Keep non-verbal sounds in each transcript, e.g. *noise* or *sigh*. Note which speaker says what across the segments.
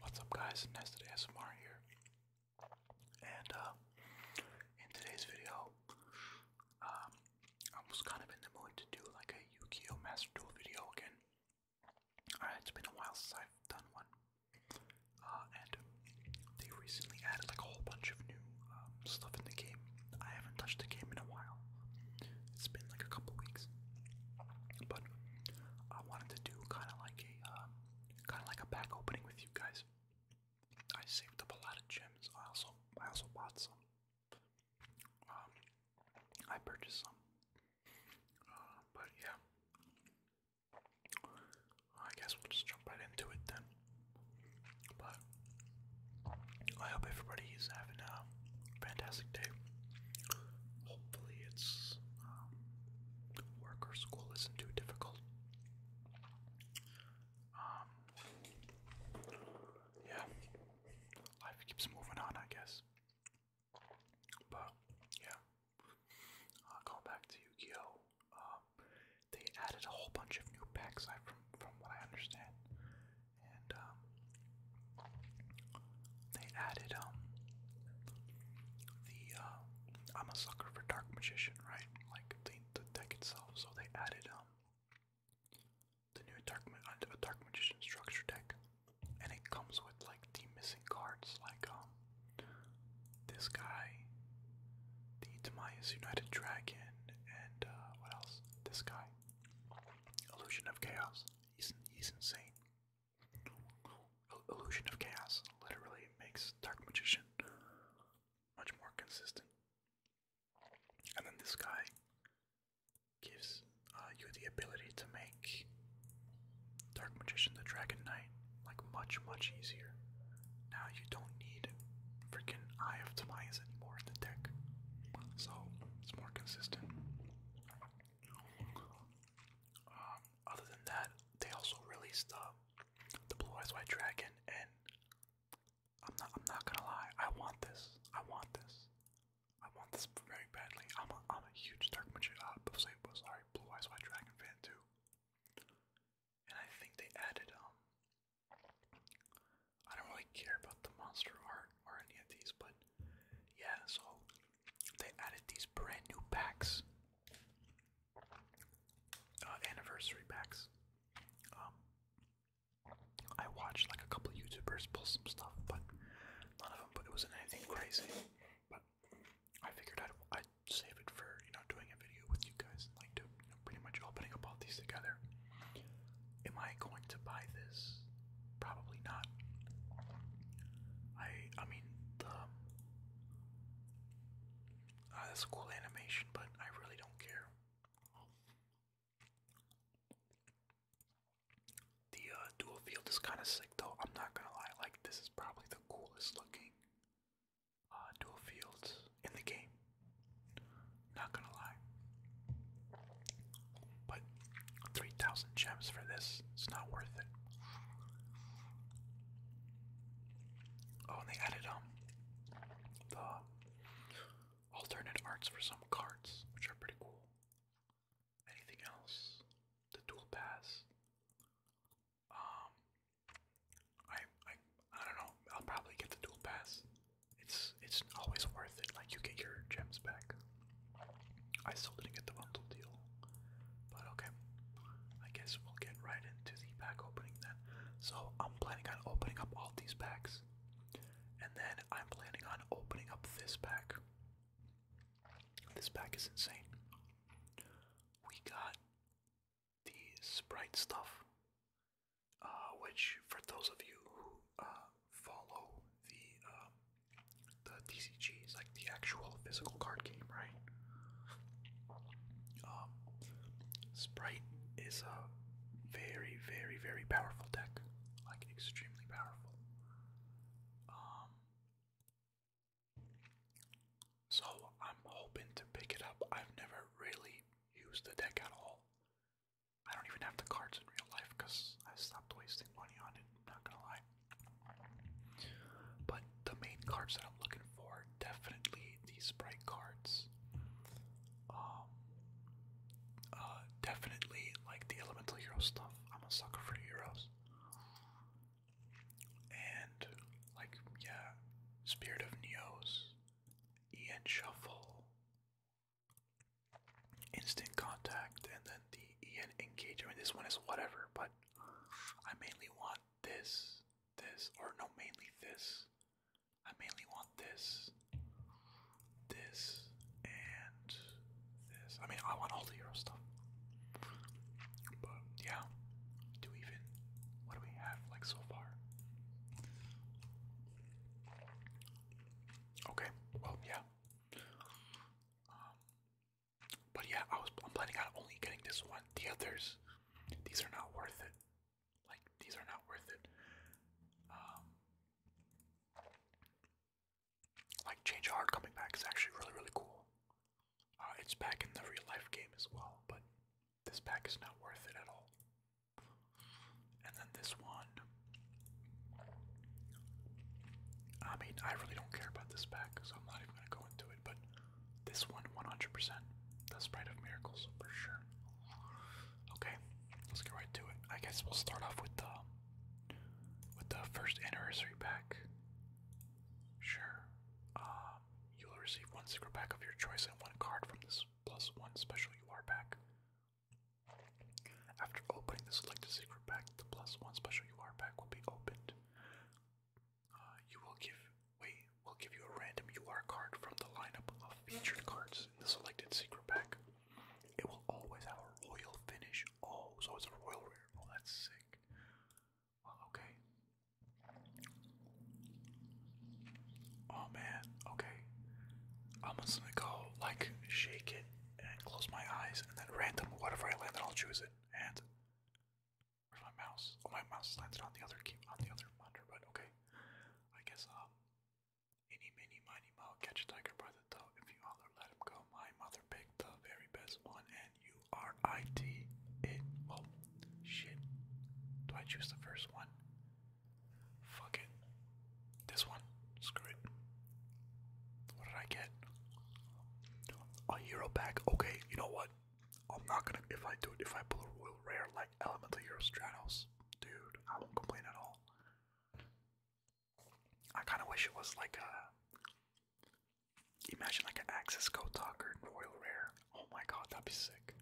Speaker 1: What's up guys, Nested ASMR here. And uh, in today's video, um, I was kind of in the mood to do like a yu Master Duel video again. Alright, uh, it's been a while since I've done one. Uh, and they recently added like a whole bunch of new um, stuff in the game. I haven't touched the game in a while. It's been like a couple weeks. But I wanted to kind of like a um, kind of like a pack opening with you guys. I saved up a lot of gems. I also I also bought some. Um, I purchased some. Uh, but yeah, I guess we'll just jump right into it then. But I hope everybody is having a fantastic day. Hopefully, it's um, work or school isn't too difficult. Um,
Speaker 2: yeah, life keeps
Speaker 1: moving on, I guess. But yeah, going back to Yu-Gi-Oh, uh, they added a whole bunch of new packs. I from from what I understand, and um, they added um the uh, I'm a sucker for Dark Magician, right? Like the, the deck itself. So they added um the new Dark Magician structure deck, and it comes with like the missing cards, like um this guy, the Demise United Dragon, and uh, what else? This guy, Illusion of Chaos. He's he's insane. Illusion of chaos literally makes Dark Magician much more consistent. And then this guy gives uh, you the ability to make Dark Magician the Dragon Knight like much, much easier. Now you don't need freaking Eye of Timaeus anymore in the deck, so it's more consistent. Um, other than that, they also released the Blue Eyes White Dragon, and I'm not. I'm not gonna lie. I want this. I want this. I want this very badly. I'm a, I'm a huge Dark Magic. Uh, oh, Blue Eyes White Dragon fan too. And I think they added um, I don't really care about the monster art or any of these, but yeah. So they added these brand new packs, uh, anniversary packs. Um, I watched like a couple YouTubers pull some stuff, but none of them. But it wasn't anything crazy. But I figured I'd, I'd save it for you know doing a video with you guys, and like to pretty much opening up all these together. Am I going to buy this? Probably not. I I mean uh, that's a cool animation, but I really don't care. The uh, dual field is kind of sick though. I'm not gonna lie. Like this is probably the coolest looking uh, dual fields in the game. Not gonna lie. But 3,000 gems for this, it's not worth it. Oh, and they added um the alternate arts for some cards, which are pretty cool. Anything else? The dual pass. Um, I I I don't know. I'll probably get the dual pass. It's it's always worth it. Like you get your gems back. I still didn't get the bundle deal, but okay. I guess we'll get right into the pack opening then. So I'm planning on opening up all these packs, and then I'm planning on opening up this pack. This pack is insane. We got the Sprite stuff, uh, which for those of you who uh, follow the um, the TCGs, like the actual physical card game, right? Um, Sprite is a very, very, very powerful deck, like extremely powerful. Um, so I'm hoping to pick it up. I've never really used the deck at all. I don't even have the cards in real life because I stopped wasting money on it not gonna lie. But the main cards that I'm looking for, definitely these sprite cards. Um, uh, definitely like the elemental hero stuff. I'm a sucker for heroes. And like yeah, Spirit of Neos, Ian Shuffle, instant contact and then the en engage. I mean, this one is whatever, but I mainly want this, this, or no, mainly this. I mainly want this, this, and this. I mean, I want all the hero stuff. But yeah, do we even? What do we have like so far? Okay, well, yeah. Um, but yeah, I was I'm planning on only getting this one. The others, these are not worth it. Like these are not worth it. Um, like Change Hard coming back is actually really really cool. Uh, it's back in the real life game as well, but this pack is not worth it at all. And then this one, I mean, I really don't care about this pack, so I'm not even going to go into it, but this one, 100%. The Sprite of Miracles, for sure. Okay, let's get right to it. I guess we'll start off with the,
Speaker 2: with the first anniversary pack. Sure. Uh, you'll receive one
Speaker 1: secret pack of your choice and one card from this plus one special UR pack. After opening the selected secret pack, the plus one special UR pack will be opened. Uh, you will give wait, we'll give you a random UR card from the lineup of featured cards in the selected secret pack. It will always have a royal finish. Oh, so it's a royal rare. Oh, that's sick. okay. Oh man, okay. I'm just gonna go like shake it and close my eyes, and then random whatever I land, I'll choose it. And where's my mouse? Oh, my mouse landed on the other key, on the other monitor. But okay, I guess um, any mini miny mo catch a tiger by the toe. If you holler, let him go. My mother picked the very best one, and you are it. It. Oh shit! Do I choose the first one? Fuck it. This one. Screw it. What did I get? A hero pack. Okay, you know what? I'm not gonna. If I do it, if I pull a royal rare like Elemental Hero Stratos, dude, I won't complain at all. I kind of wish it was like a. Imagine like an Axis Go Talker Royal Rare. Oh my god, that'd be sick.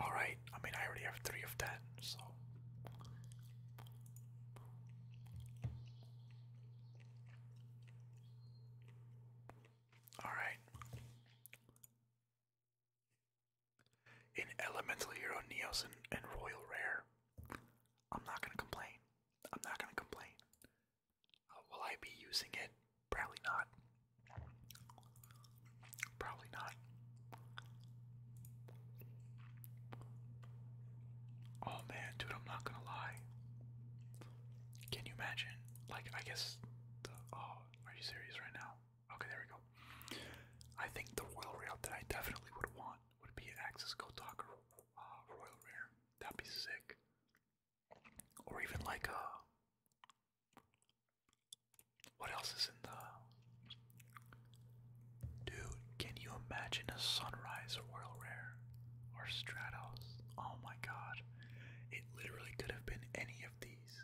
Speaker 1: Alright, I mean, I already have three of that, so. Alright.
Speaker 2: In Elemental Hero Neos and, and Royal Rare, I'm not gonna complain. I'm not gonna complain. Uh, will I
Speaker 1: be using it? Probably not. Probably not. Oh man, dude, I'm not gonna lie.
Speaker 2: Can you imagine? Like, I guess the. Oh, are you serious right now? Okay, there we go. I think the royal rail that I definitely
Speaker 1: would want would be an Axis Go Talker uh, Royal Rare. That'd be sick. Or even like a uh, what else is in the. Dude, can you imagine a Sunrise Royal Rare or Stratos? Oh my god. It literally could have been any of these.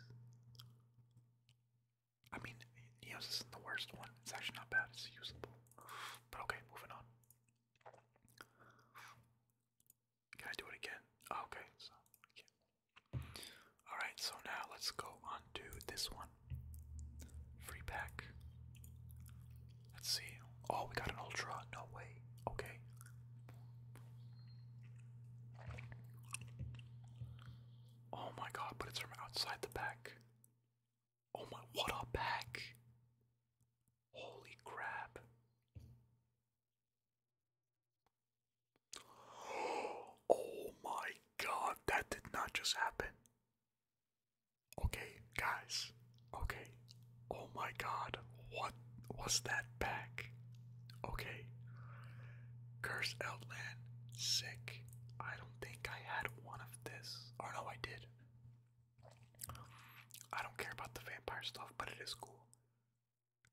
Speaker 1: I mean, Neos isn't the worst one. It's actually not bad, it's usable. But okay, moving on. Can I do it again? Oh, okay, so. Alright, so now let's go on this one. Free pack. Let's see. Oh, we got an ultra. No way. Okay. Oh my god, but it's from outside the pack. Oh my, what a pack! Holy crap. Oh my god, that did not just happen. Okay, guys. Okay. Oh my god, what was that back? Okay. Curse Outland. Sick. I don't think I had one of this. Or no, I did. I don't care about the vampire stuff, but it is cool.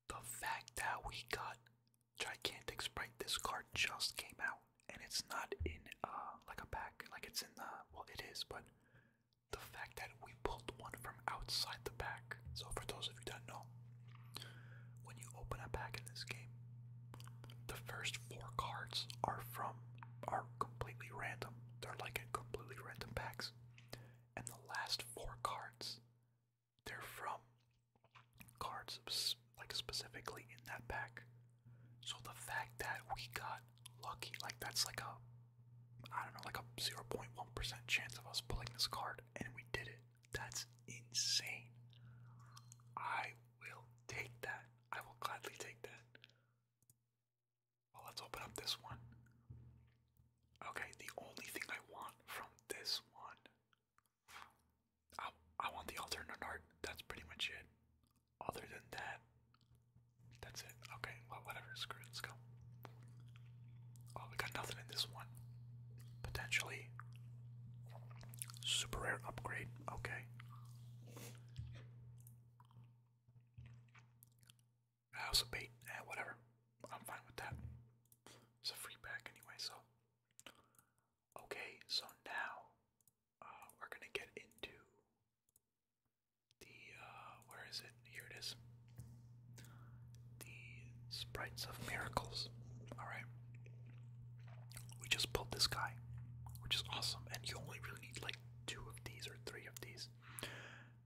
Speaker 1: The fact that we got Gigantic Sprite, this card just came out, and it's not in uh like a pack, like it's in the well, it is, but the fact that we pulled one from outside the pack. So for those of you that know, when you open a pack in this game, the first four cards are from are completely random. They're like in completely random packs, and the last four cards they're from cards like specifically in that pack. So the fact that we got lucky, like that's like a I don't know, like a 0.1% chance of us pulling this card and we did it. That's insane. I will take that. I will gladly take that. Well, let's open up this one. Okay, the only thing I want from this one I I want the alternate art. That's pretty much it. Other than that, that's it. Okay, well, whatever. Screw it. Let's go. Oh, we got nothing in this one. Potentially. Super rare upgrade. Okay. House of bait. Eh, whatever. I'm fine with that. It's a free pack anyway, so. Okay, so now uh, we're gonna get into the uh, where is it? Here it is. The sprites of miracles. All right. We just pulled this guy, which is awesome, and you only really need like two of these or three of these.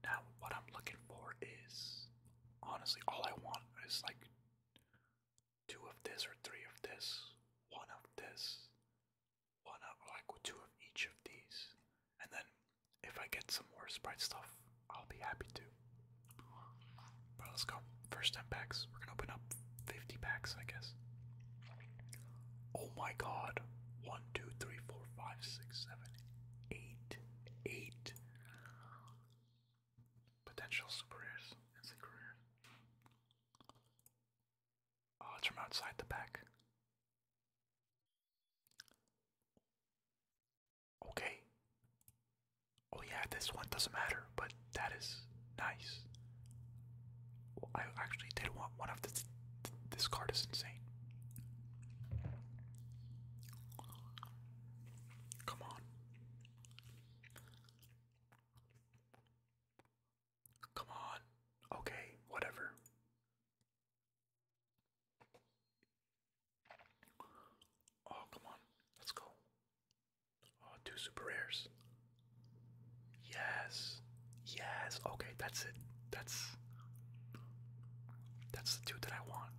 Speaker 1: Now, what I'm looking for is honestly all I want is like two of this or three of this, one of this, one of like two of each of these, and then if I get some more sprite stuff, I'll be happy too. But let's go. First 10 packs. We're gonna open up 50 packs, I guess. Oh my god. 1, potential superiors. rares, instant Oh, it's from outside the pack. Okay. Oh yeah, this one doesn't matter, but that is nice. Well, I actually did want one of this. This card is insane. Come on. Come on. Okay, whatever. Oh, come on. Let's go. Oh, two super rares. Yes. Yes. Okay, that's it. That's that's the two that I want.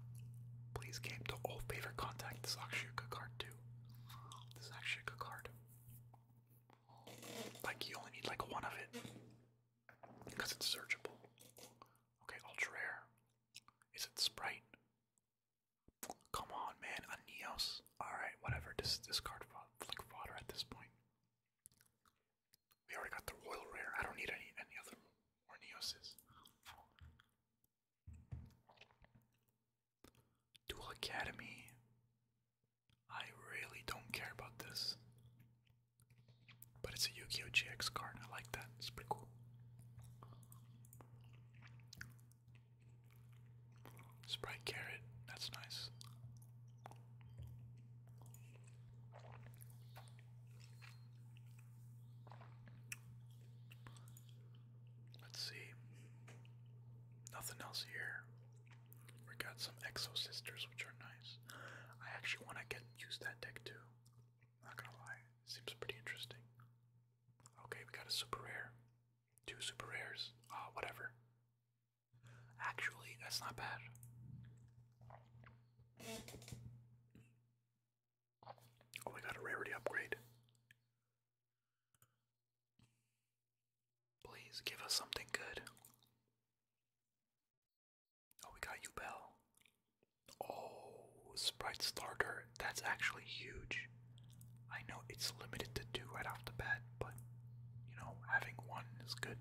Speaker 1: Please game to old favorite contact. This is actually a good card too. This is actually a good card. Like you only need like one of it. Because it's searchable. Okay, ultra rare. Is it Sprite? Come on man, a Neos. Alright, whatever. This this card like fodder at this point. We already got the royal rare. I don't need any any other or Dual Academy. I really don't care about this. But it's a Yu Gi Oh! GX card, I like that, it's pretty cool. Sprite Carrot, that's nice. Let's see. Nothing else here. We got some Exo Sisters, which are nice. I actually want to get use that deck too. Not gonna lie, it seems pretty interesting. Okay, we got a super rare, two super rares. Ah, whatever. Actually, that's not bad. Oh, my god, a rarity upgrade. Please give us something good. Oh, we got you, Bell. Oh, Sprite Starter. That's actually huge. I know it's limited to two right off the bat, but you know, having one is good.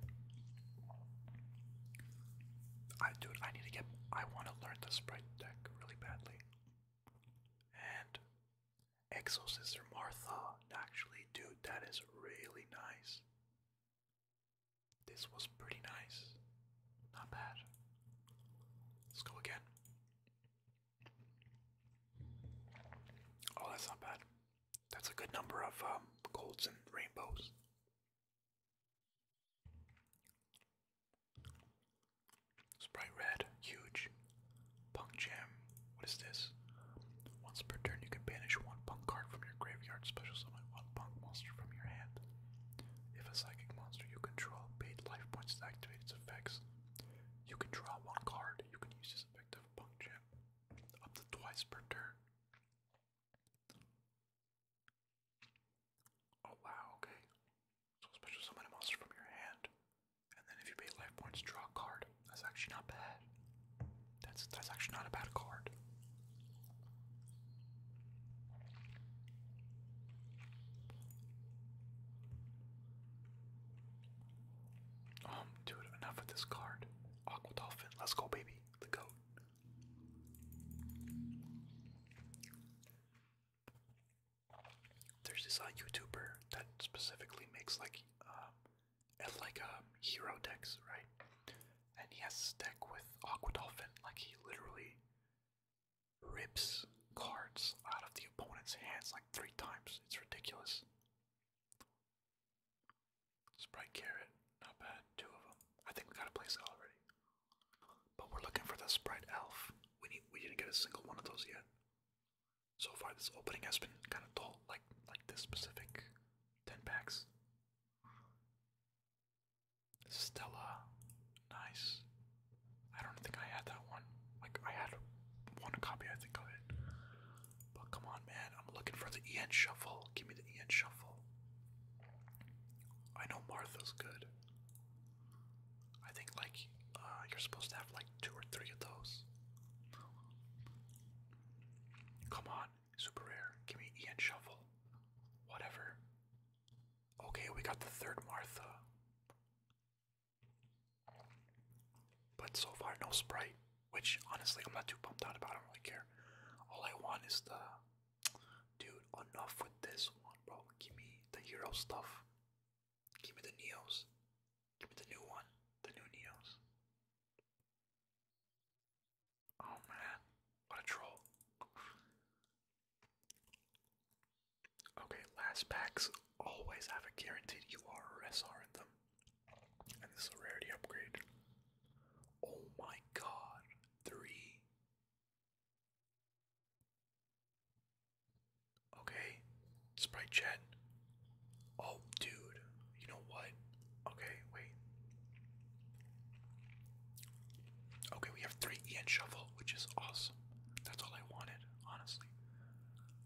Speaker 1: I dude, I need to get I want to learn the Sprite deck really badly. And Exosister Martha, actually, dude, that is really nice. This was pretty nice. Not bad. Let's go again. Oh, that's not bad. That's a good number of um, golds and rainbows. Sprite Red, huge. Punk Jam, what is this? Once per turn, you can banish one punk card from your graveyard, special summon one punk monster from your hand. If a psychic monster you control paid life points to activate its effects, you can draw one card. You can use this effect of Punk Jam up to twice per turn. Oh wow, okay. special summon a monster from your hand. And then if you pay life points, draw a card. That's actually not bad. That's that's
Speaker 2: actually not a bad card.
Speaker 1: Um, dude, enough with this card. Aqua let's go baby. The goat. There's this uh, YouTuber that specifically makes like um, like a um, hero decks, right? And he has this deck with Aquadolphin. Like he literally rips cards out of the opponent's hands like three times. It's ridiculous. Sprite Carrot, not bad. Two of them. I think we got a place already. But we're looking for the Sprite Elf. We we didn't get a single one of those yet. So far this opening has been kinda dull, like like this specific ten packs. Stella, nice. I don't think I had that one. Like I had one copy I think of it. But come on man, I'm looking for the EN shuffle. Give me the Ian Shuffle. I know Martha's good. I think like uh, you're supposed to have like two or three of those. Come on, super rare. Give me Ian Shuffle. Whatever. Okay, we got the third Martha. But so far, no Sprite, which honestly, I'm not too pumped out about. I don't really care. All I want is the Dude, enough with this one, bro. Give me the hero stuff. Give me the Neos. Give me the new one. The new Neos. Oh man, what a troll. Okay, last packs always have a guaranteed UR or SR in them. And this is a rarity upgrade. Oh my god. Three Okay, Sprite Chat. Oh, dude, you know what? Okay, wait. Okay, we have three Ian Shovel, which is awesome. That's all I wanted, honestly.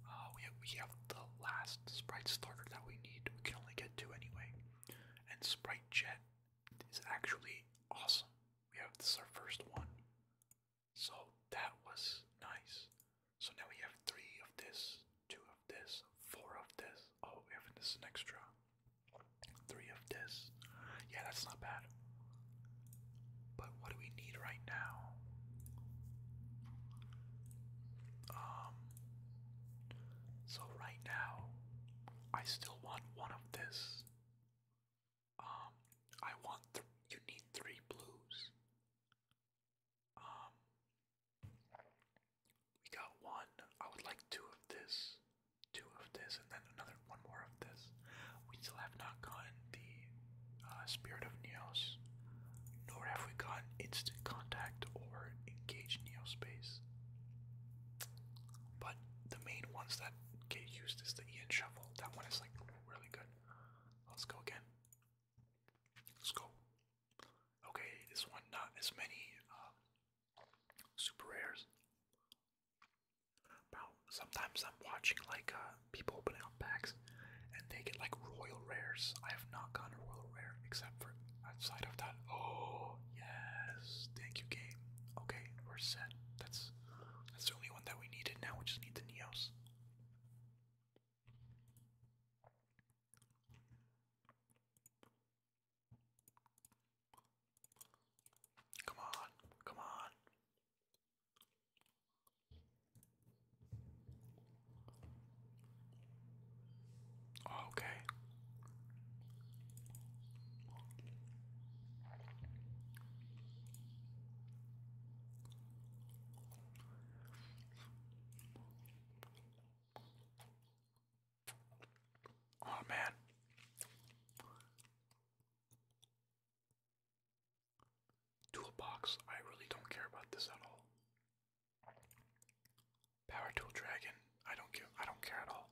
Speaker 1: Uh, we have, we have the last Sprite starter that we need. We can only get two anyway. And Sprite Jet is actually awesome. We have this is our first one. So that was nice. So now we have three of this, two of this, four of this. Oh, we have this an extra. Three of this. Yeah, that's not bad. But what do we need right now? Um so right now I still want one of this. Um, I want you need three blues. Um, we got one. I would like two of this, two of this, and then another one more of this. We still have not gotten the uh, Spirit of Neos, nor have we gotten Instant Contact or Engage Neospace. But the main ones that get used is the Ian shovel. That one is like really good. Let's go again. Let's go. Okay, this one not as many um, super rares. About sometimes I'm watching like uh, people opening up packs, and they get like royal rares. I have not gotten a royal rare except for Outside of that, oh yes, thank you, game. Okay, we're set. That's that's the only one that we needed. Now we just need the Neos.
Speaker 2: Come on, come on. Oh, okay.
Speaker 1: Oh man. Toolbox, I really don't care about this at all. Power Tool Dragon. I don't give I don't care at all.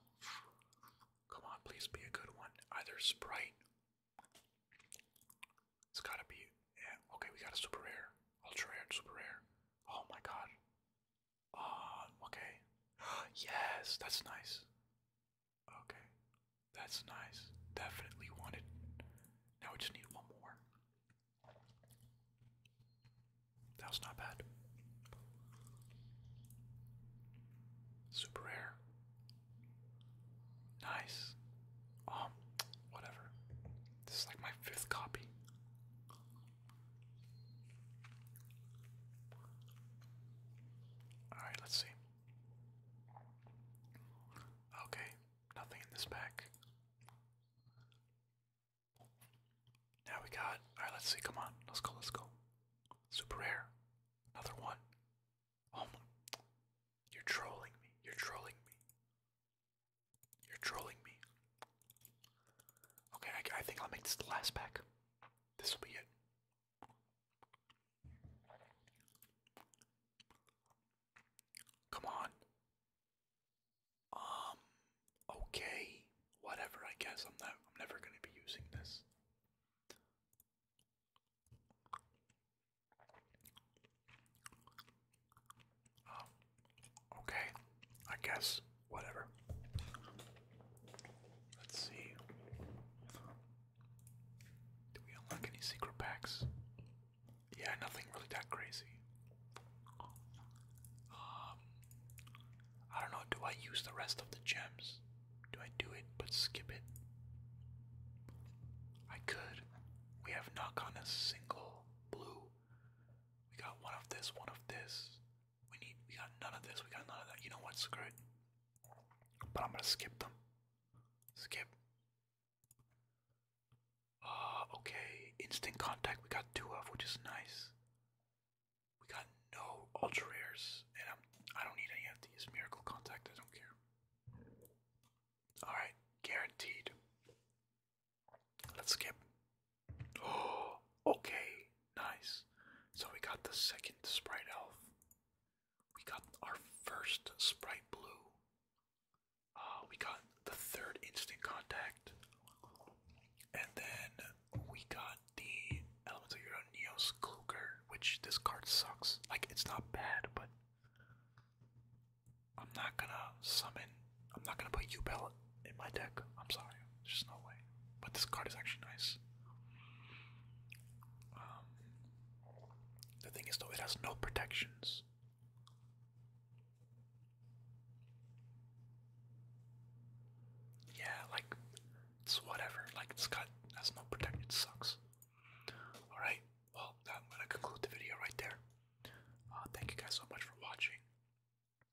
Speaker 1: Come on, please be a good one. Either Sprite. It's gotta be yeah, okay, we got a super rare. Ultra rare, super rare. Oh my god. Uh okay. *gasps* yes, that's nice. Okay. That's nice. Definitely wanted. Now we just need one more. That was not bad. Super rare. Nice. Um, whatever. This is like my fifth copy. Alright, let's see. Okay, nothing in this pack. Now we got. Alright, let's see. Come on. Let's go. Let's go. Super rare. Another one. Oh You're trolling me. You're trolling me. You're trolling me. Okay, I think I'll make this the last pack. This will be it. Come on. Um okay, whatever I guess I'm not I'm never gonna be using this. Um, okay, I guess whatever. Let's see. Do we unlock any secret packs? Yeah, nothing really that crazy. Um, I don't know. Do I use the rest of the gems? Do I do it but skip it? I could. We have not gotten a single blue. We got one of this, one of this. We need. We got none of this. We got none of that. You know what? Screw it. But I'm gonna skip them. Skip. Uh, okay. Instant contact. We got two of, which is nice. We got no ultra rares, and I'm, I do not need any of these. Miracle contact, I don't care. Alright, guaranteed. Let's skip. Oh, *gasps* okay, nice. So we got the second Sprite Elf. We got our first Sprite Blue. Uh, we got the third Instant Contact. And then we got the Elemental Hero Neos Kluger, which this card sucks. Like, it's not bad, but I'm not gonna summon, I'm not gonna put u in my deck. I'm sorry, there's just no way. But this card is actually nice. Um, the thing is, though, it has no protections. Yeah, like it's whatever. Like it's got has no protect. sucks. All right. Well, I'm gonna conclude the video right there. Uh, thank you guys so much for watching.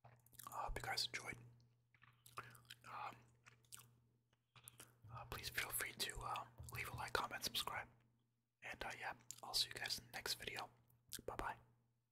Speaker 1: I hope you guys enjoyed. Um, uh, please feel free to uh, leave a like, comment, subscribe, and yeah, I'll see you guys in the next video. Bye bye.